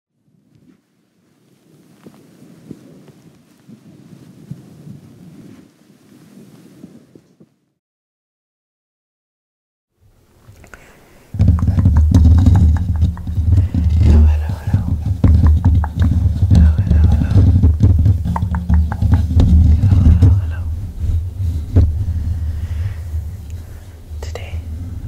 Hello, hello, hello. Hello, hello, hello. Hello, hello, hello. Today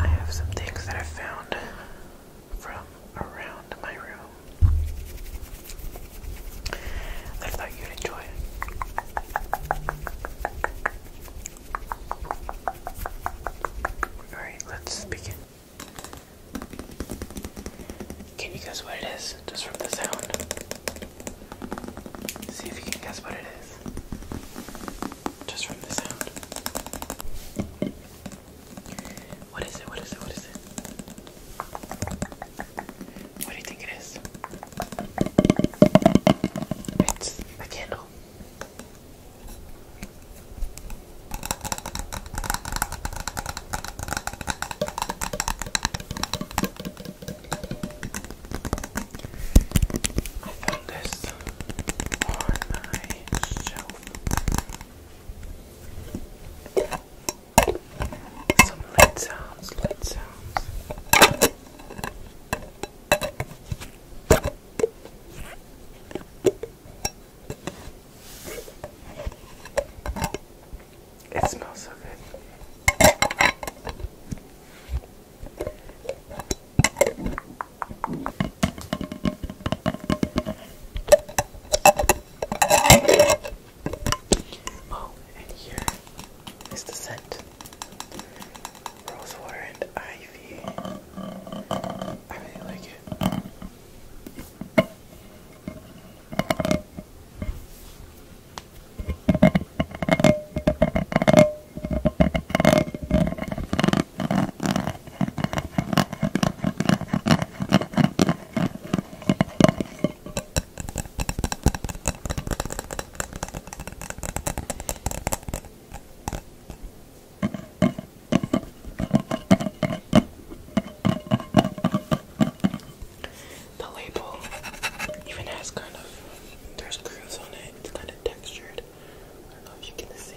I have some things that I found from around my room. I thought you'd enjoy it. Alright, let's begin. Can you guess what it is just from the sound? See if you can guess what it is just from the sound. What is it? What is it? What is it? What do you think it is? It's a candle. I found this on my shelf. Some light sounds, light sounds. It smells so good. Oh, and here is the scent. Rosewater and ivy. I really like it. The label even has kind of, there's grooves on it, it's kind of textured it. I don't know if you can see.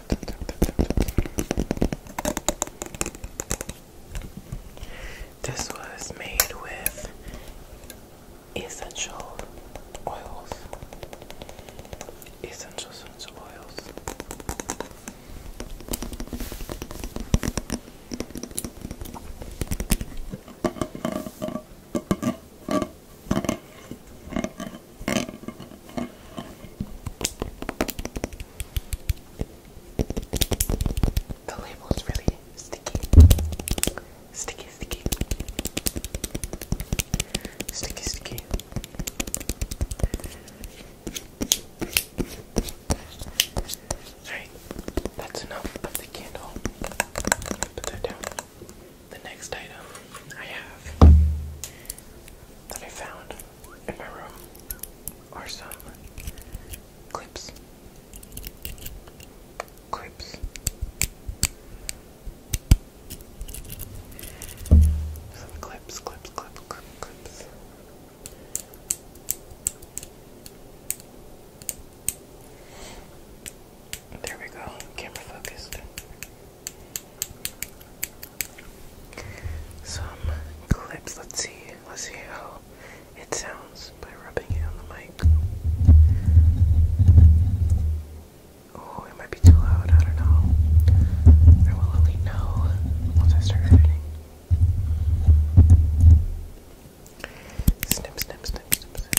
This was made with essential oils. Essential essential oils. The label is really sticky. Sticky, sticky. Sticky, sticky. Alright, that's enough of the candle. Put that down the next item I have that I found in my room are some clips. Clips. Some clips, clips, clips, clip, clips. There we go, camera focused some clips. Let's see. Let's see how it sounds by rubbing it on the mic. Oh, it might be too loud. I don't know. I will only know once I start editing. Snip, snip, snip, snip,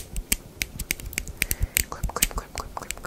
Clip, clip, clip, clip, clip,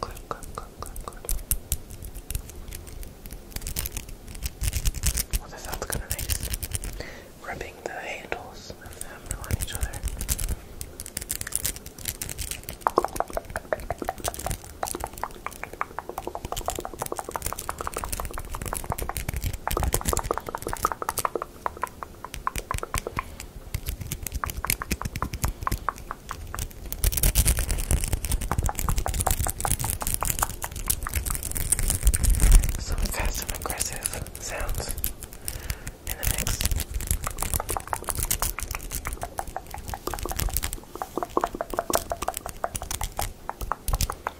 Good, good, Well, that sounds kind of nice. Rubbing the handles of them on each other. So let's have some aggressive sounds in the mix.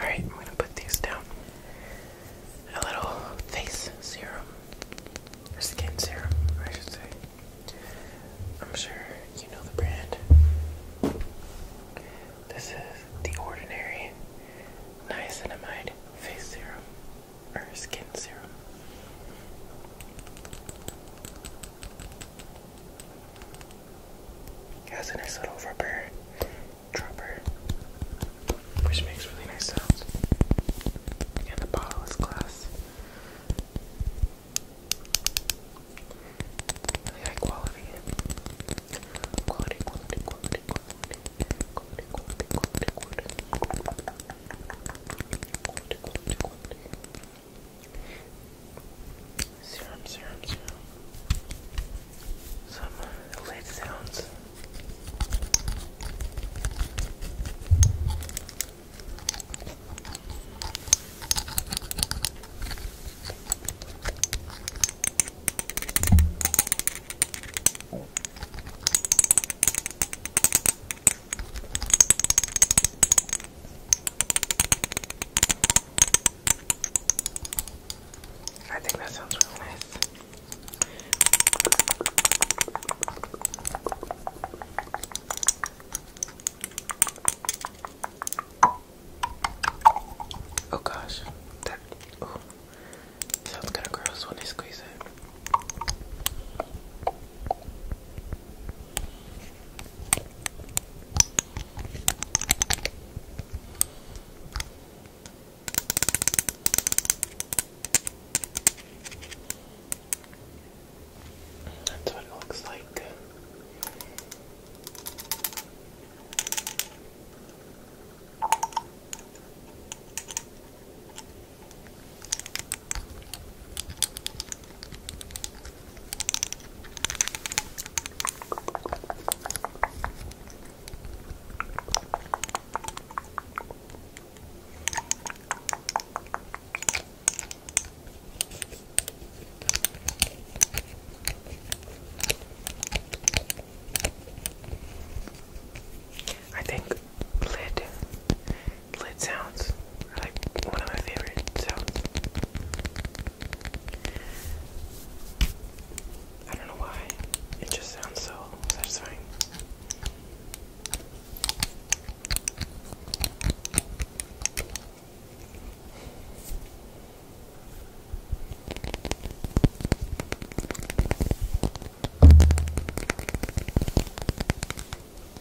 Alright, I'm gonna put these down. A little face serum, or skin serum, I should say. I'm sure you know the brand. This is the Ordinary Niacinamide Face Serum, or Skin Serum. It has a nice little rubber dropper, which makes really nice sounds. And the bottle is glass. Serum, serum, serum. Some lid sounds. I think that sounds really nice. Oh gosh, that sounds kind of gross when I squeeze it. That's what it looks like. I think lid Lit sounds are like one of my favorite sounds. I don't know why. It just sounds so satisfying.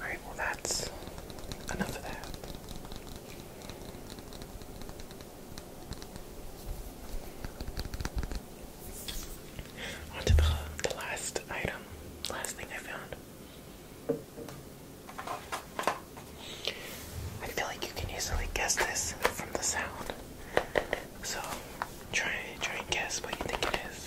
Alright, well, that's enough of that. On the, the last item, last thing I found. I feel like you can easily guess this from the sound. So try try and guess what you think it is.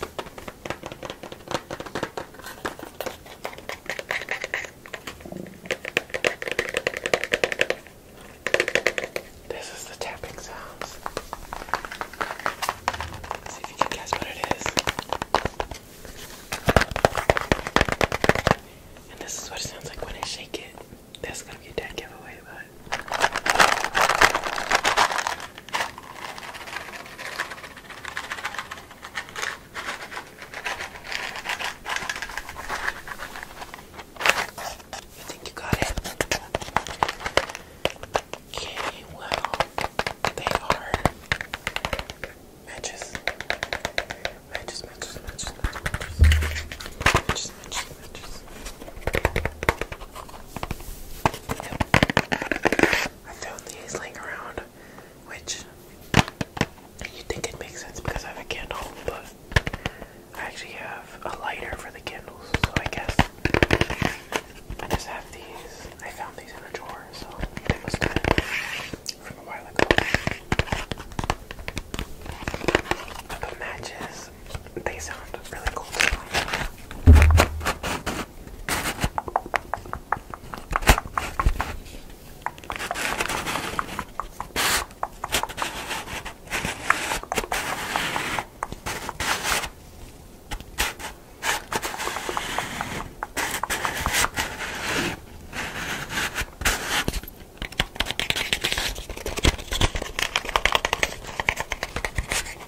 This is the tapping sounds. see if you can guess what it is. And this is what it sounds like when I shake it. That's gonna be a dead giveaway, but you think you got it? Okay, well, they are matches. Matches, matches, matches, matches, matches, matches, matches. matches i found these like around, which you think it makes sense because I have a candle, but I actually have a lighter for the candles, so I guess I just have these. I found these in a drawer, so they must have been from a while ago. i matches because they sound really cool. I'm gonna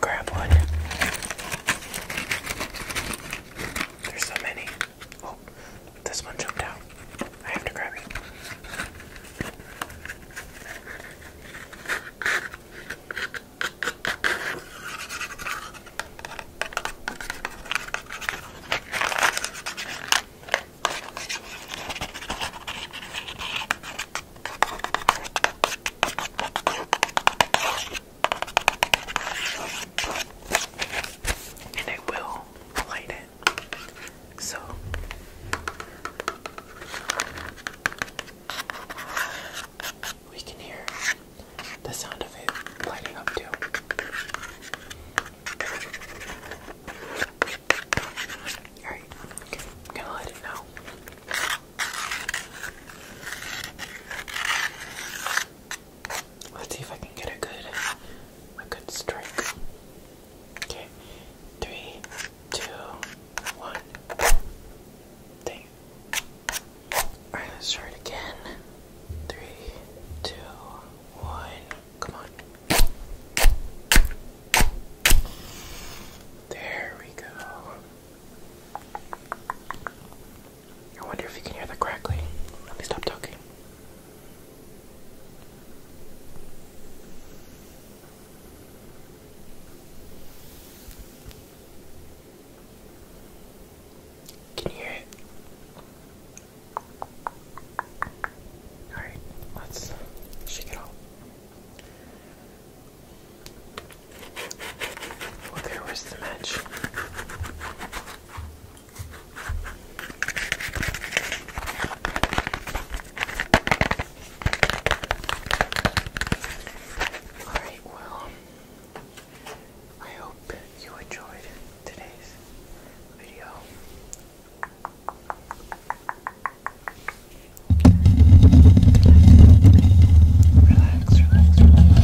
grab one. There's so many. Oh, this one jumped out. I have to grab it. And will light it. So we can hear the sound of it lighting up too. Alright, I'm gonna let it know. Let's see if I can get a good a good strike. Okay. Three, two, one. Dang. Alright, let's try it again three, two, one. Come on. There we go. I wonder if you can hear the crackling. Let me stop talking. Can you hear it? Alright, let's shake it off. Well, oh, was the match. Alright, well, I hope you enjoyed today's video. Relax, relax, relax.